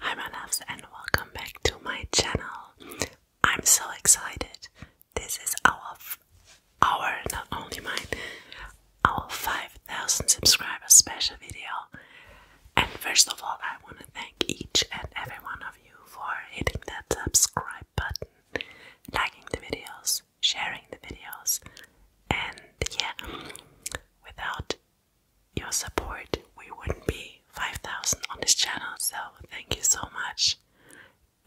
Hi my loves and welcome back to my channel. I'm so excited. This is our our not only mine our 5000 subscribers special video. And first of all, I want to thank each and every one of you for hitting that subscribe button, liking the videos, sharing the videos, and yeah, without your support, we wouldn't be 5,000 on this channel. So, thank you so much.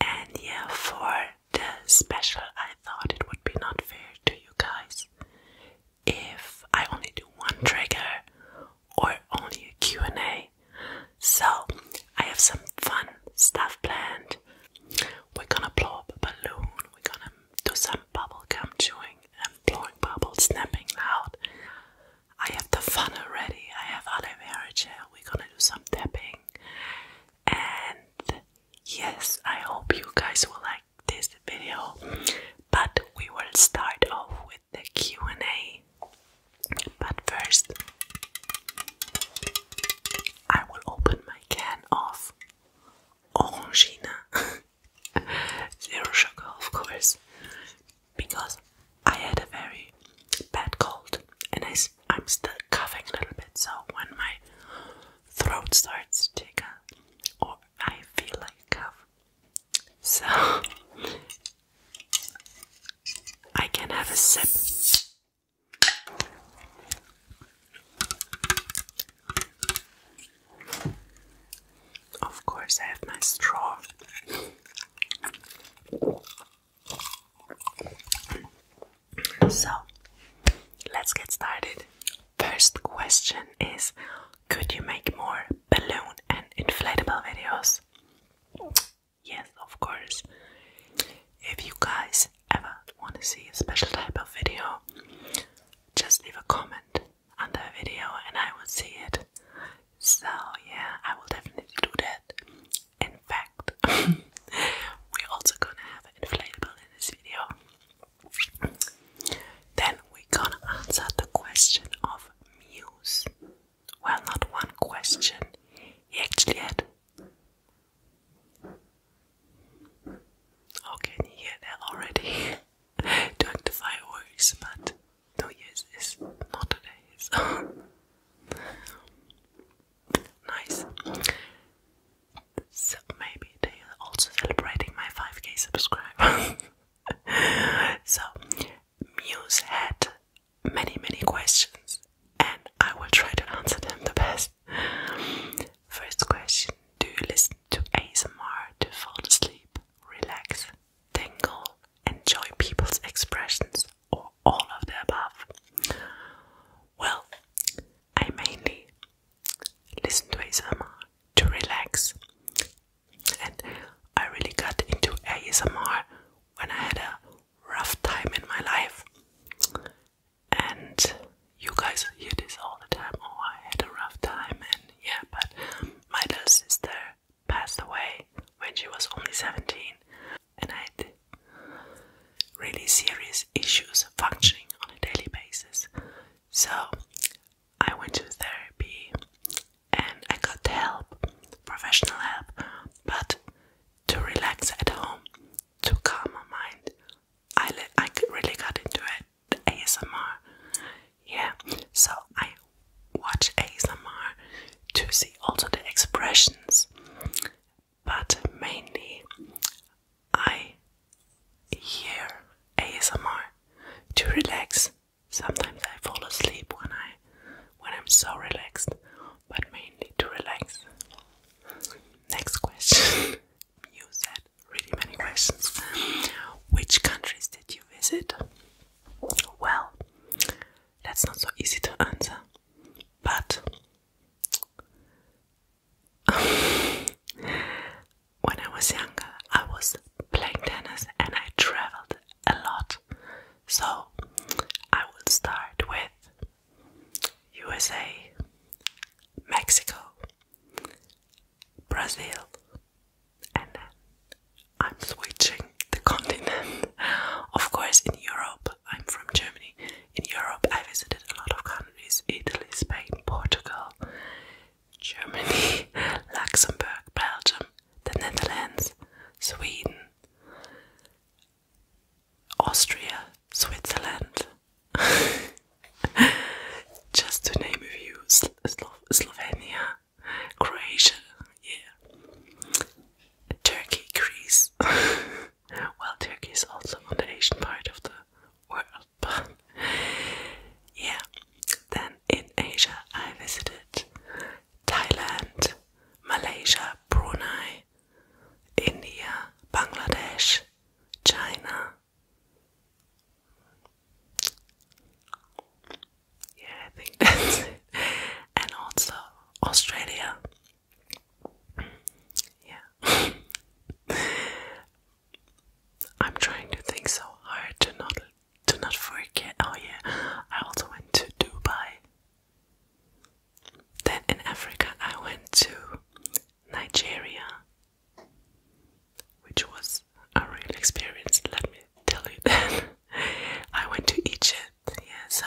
And yeah, for the special, I thought it would be not fair to you guys if I only do one trigger or only a Q&A. So I have some fun stuff planned. We're gonna blow up a balloon. We're gonna do some bubble bubblegum chewing and blowing bubbles, snapping loud. I have the fun already. I have aloe vera gel. We're gonna do some tapping. And yes, I hope you guys will like this video, but we will start off with the Q&A. But first, I will open my can of orangina, zero sugar, of course, because I had a very bad cold and I, am still coughing a little bit. So when my throat starts to tickle or I feel like a cough, so I can have a sip. Of course, I have my straw. So let's get started. First question is Could you make more balloon and inflatable videos? Yes, of course. If you guys ever want to see a special type of video, just leave a comment under the video and I will see it. So, yeah, I will definitely do that. In fact, we're also gonna have an inflatable in this video. Then we're gonna answer the question of Muse. Well, not one question, he actually had. Oh, can you hear that already? Doing the fireworks, but no, yes, it's not today. So. nice. So maybe they are also celebrating my 5k subscriber. so, Muse had many, many questions, and I will try to answer them the best. First question Do you listen to ASMR to fall asleep, relax, tingle, enjoy people's expressions, or all of the above? Well, I mainly listen to ASMR to relax. And I really got into ASMR when I had a rough time in my life. And you guys hear this all the time. Oh, I had a rough time, and yeah, but my little sister passed away when she was only 17, and I had really serious issues functioning on a daily basis. So I went to therapy and I got help, professional help, but to relax at home, to calm my mind, I, I really got into it. ASMR. Yeah, so I watch ASMR to see also the expressions, but mainly I hear ASMR to relax. Sometimes I fall asleep when I when I'm so relaxed, but mainly to relax. Next question. you said really many questions. Which countries did you visit? Well, that's not so easy to answer. But when I was younger, I was playing tennis and I traveled a lot. So I will start with USA, Mexico, Brazil, and I'm switching the continent. Of course, in Europe, I'm from Germany. In Europe, I visited a lot of countries Italy, Spain, Portugal, Germany, Luxembourg, Belgium, the Netherlands, Sweden, Austria, Switzerland, just to name a few, Slovenia, Croatia, yeah, Turkey, Greece. well, Turkey is also on the Asian part of the world. yeah, then in Asia, I visited Thailand, Malaysia, Brunei, India, Bangladesh, China. Yeah, I think that's it. And also Australia. Yeah. I'm trying to think so hard to not to not forget. Oh yeah, I also went to Dubai. Then in Africa, I went to Nigeria, which was a real experience. Let me tell you that. I went to Egypt. Yeah, so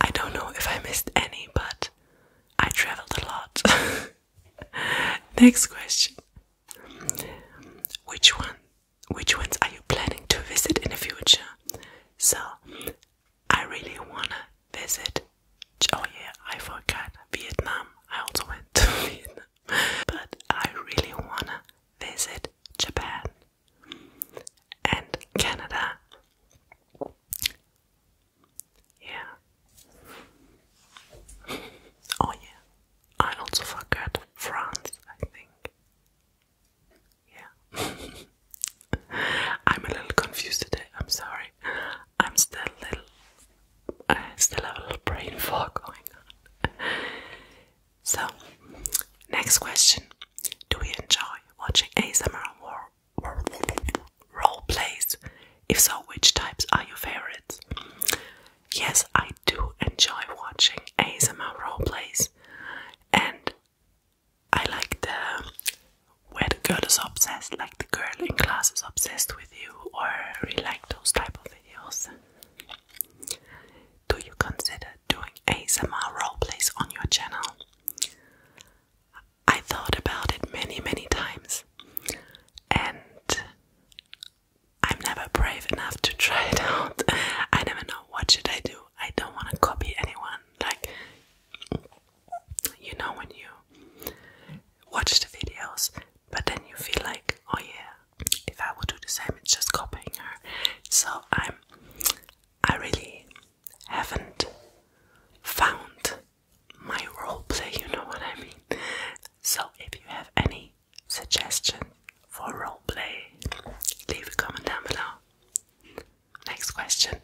I don't know if I missed any, but I traveled a lot. Next question. Which one? Which ones are you planning to visit in the future? So, I really wanna visit. Oh yeah, I forgot Vietnam. I also went to Vietnam, but I really wanna visit Japan and Canada. Yeah, Oh yeah, I also forgot France, I think. Yeah. I'm a little confused today, I'm sorry. I'm still little I still have a little brain fog going on. So next question. Do we enjoy watching ASMR or role plays? If so, which types are your favorites? yes, I do enjoy watching ASMR plays, and I like the where the girl is obsessed, like the girl in class is obsessed with you, or really like those type of videos. Do you consider doing ASMR plays on your channel? I thought about it many, many times, and I'm never brave enough to try it out. I never know what should I do. I don't want to copy anyone. Like you know when you watch the videos, but then you feel like, oh yeah, if I would do the same, it's just copying her. So I'm, I really haven't found my role play, you know what I mean? So if you have any suggestion for role play, leave a comment down below. Next question.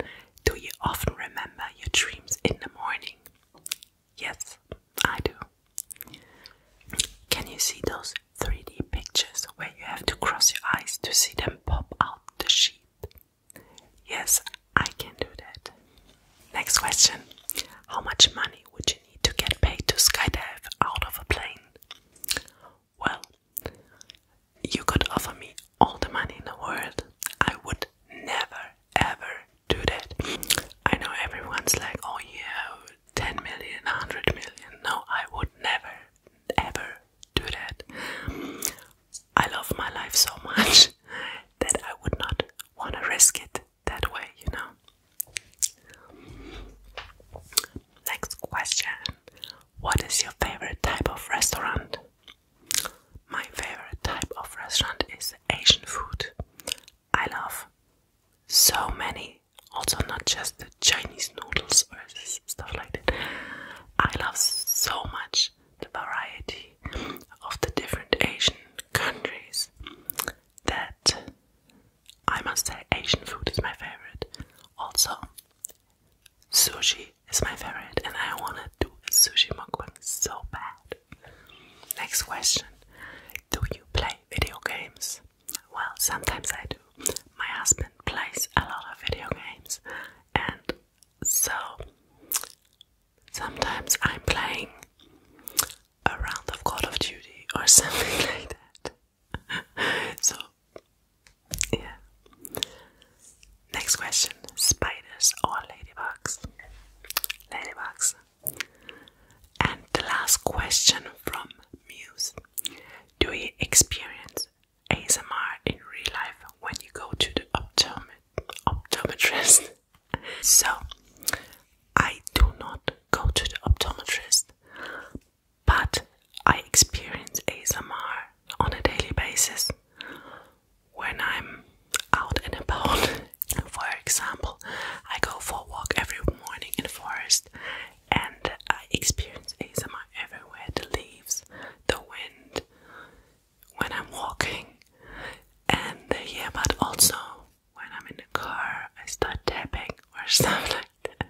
Do you often remember your dreams in the morning? Yes, I do. Can you see those 3D pictures where you have to cross your eyes to see them pop out the sheet? Yes, I can do that. Next question. How much money would you need to get paid to skydive out of a plane? Well, you could offer me all the money in the world. I would never ever do that. I know everyone's like, oh yeah, 10 million, 100 million. No, I would never ever do that. I love my life so much that I would not want to risk it that way, you know. Next question What is your favorite type of restaurant? My favorite type of restaurant is Asian food. I love so many, also, not just the Chinese noodles or stuff like that. I love so much the variety of the different Asian countries that I must say Asian food is my favorite. Also, sushi is my favorite, and I want to do sushi mukbang so bad. Next question Do you play video games? Well, sometimes I do. My husband plays a lot of video games, and so sometimes I'm playing a round of Call of Duty or something like that. so, yeah. Next question spiders or ladybugs? Ladybugs. And the last question from Muse Do you experience ASMR in real life when you go to the optometrist? so I do not go to the optometrist, but I experience ASMR on a daily basis when I'm out and about. For example, I go for a walk every morning in the forest and I experience ASMR everywhere the leaves, the wind, when I'm walking, and uh, yeah, but also when I'm in the car, I start tapping or stuff like that.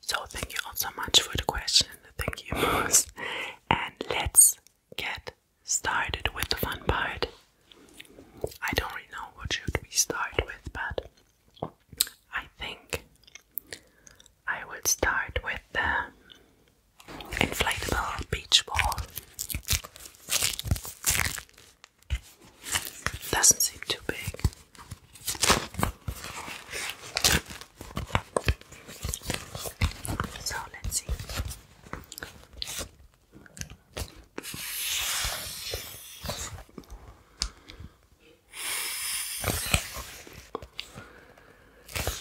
So, thank you all so much for the question. Thank you most. And let's get started with the fun part. I don't really know what should we start with, but I think I would start with the um, inflatable beach ball. Doesn't seem too big. So let's see.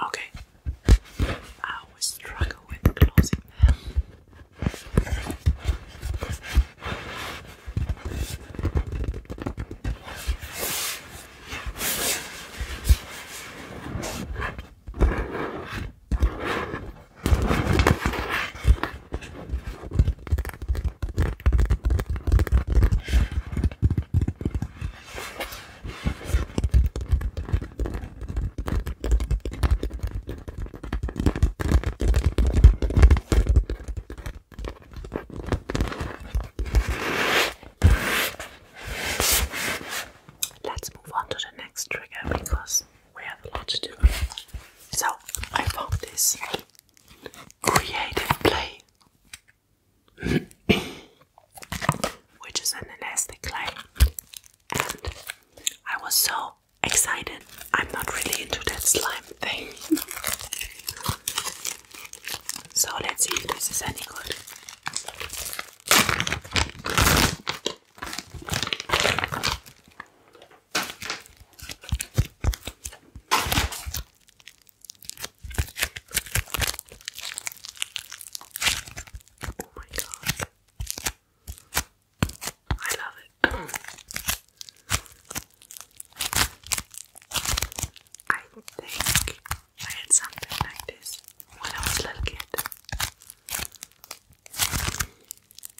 Okay, I always struggle with closing them. Let's move on to the next trigger because we have a lot to do. So I found this creative play, which is an elastic clay, and I was so excited. I'm not really into that slime thing. so let's see if this is any good. Oh my god. I love it. I think I had something like this when I was little kid.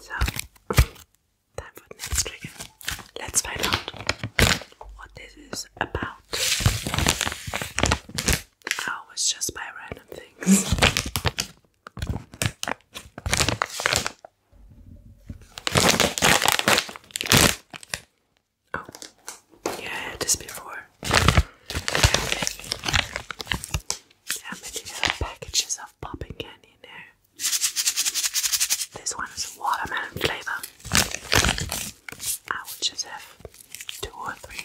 So, time for next trigger. Let's find out what this is about. I always just buy random things. Oh, yeah, I this before. How many packages of popping candy in there? This one is watermelon flavor. I will just have two or three.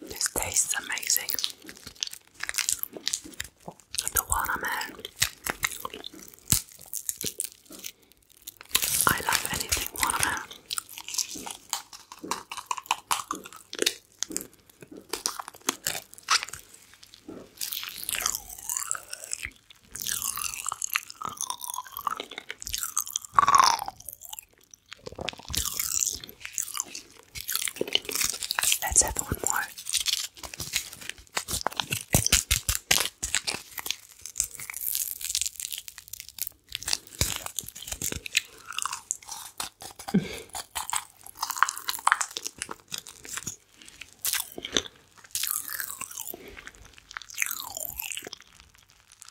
This tastes amazing. The watermelon. I love anything watermelon. Let's have one more.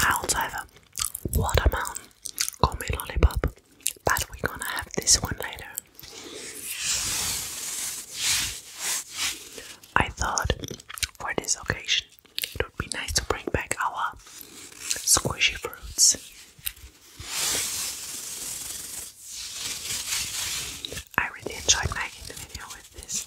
I also have a watermelon gummy lollipop, but we're gonna have this one later. I thought for this occasion it would be nice to bring back our squishy fruits. I really enjoyed making the video with this.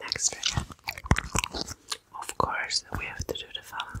Next trigger. Of course, we have to do the follow.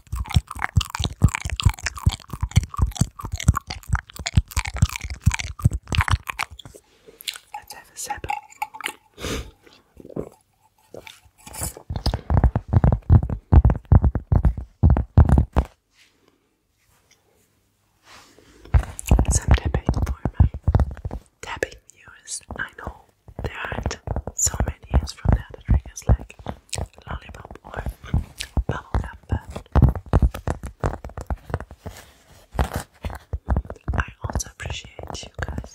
I us have a sip. Some tapping for my tapping viewers, I know. There aren't so many years from now that triggers like lollipop or bubblegum, but I also appreciate you guys.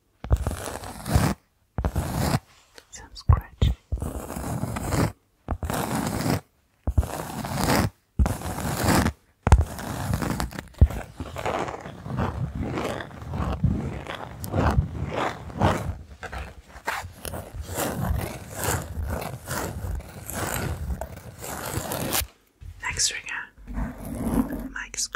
Some scratching. Next trigger, Mike's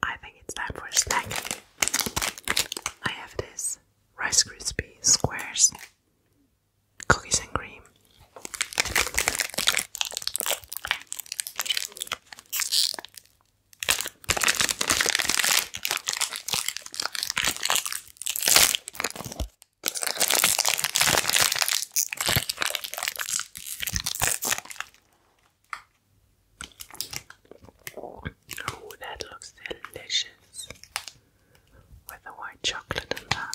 I think it's time for a snack. I have this Rice Krispie squares, cookies and cream. Oh, that looks delicious with the white chocolate and that.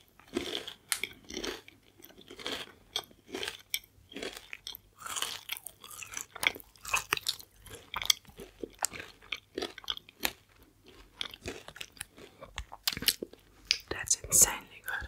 That's insanely good.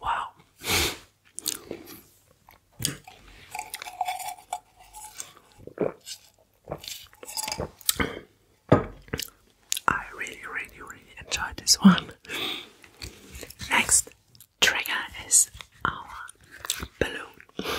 Wow. I really, really, really enjoyed this one. Next trigger is our balloon.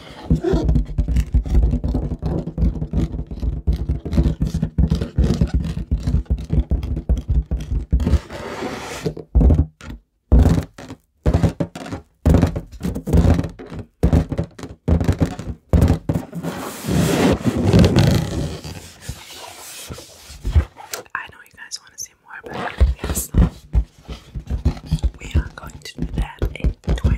I know you guys want to see more, but yes, we are going to do that in 20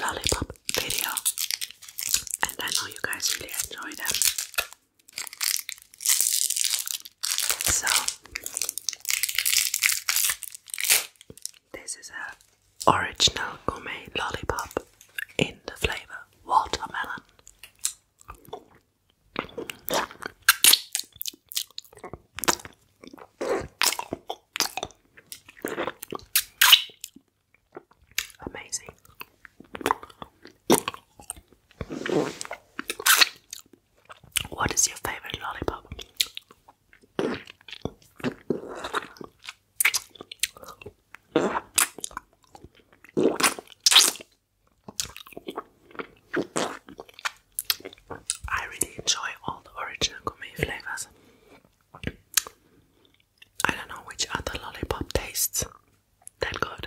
lollipop video, and I know you guys really enjoy them. So, this is a original gourmet lollipop in the flavor watermelon. Amazing. What is your favorite lollipop? I really enjoy all the original gourmet flavors. I don't know which other lollipop tastes that good.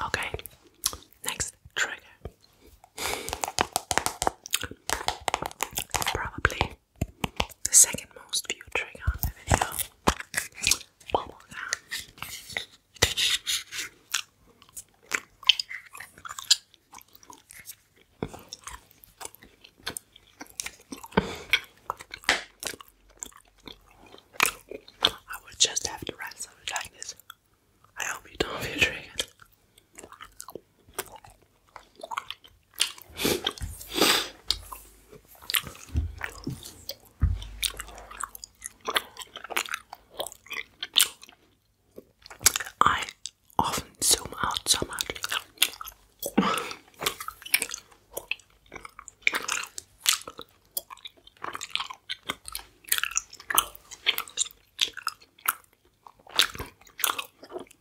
Okay, next trigger probably the second most viewed trigger on the video. I would just have to write something like this. I hope you don't feel triggered. I often zoom out so much.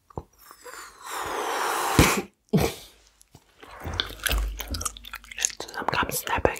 Listen, I'm snapping.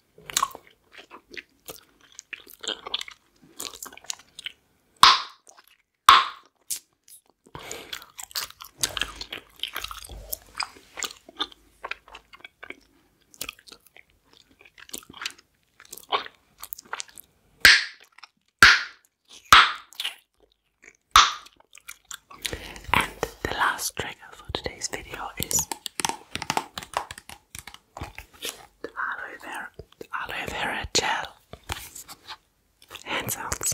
And the last trigger for today's video is the aloe vera, the aloe vera gel. Hands out.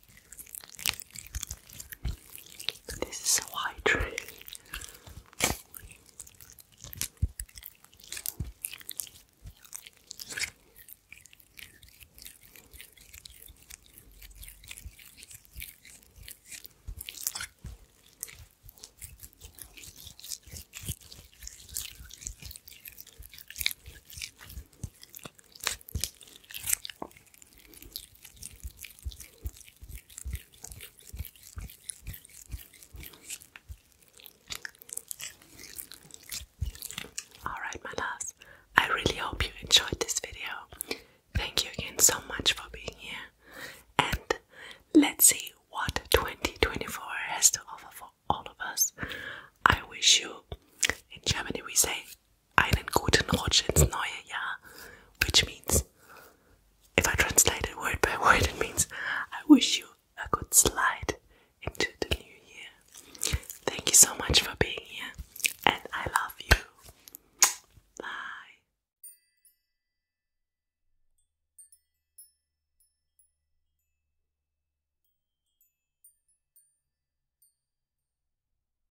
This is so hydrating. Alright, my loves, I really hope you enjoyed this video. Thank you again so much for being here, and let's see what 2024 has to offer for all of us. I wish you, in Germany, we say einen guten Rutsch ins neue Jahr, which means, if I translate it word by word, it means I wish you a good slide into the new year. Thank you so much for being here, and I love you. Bye.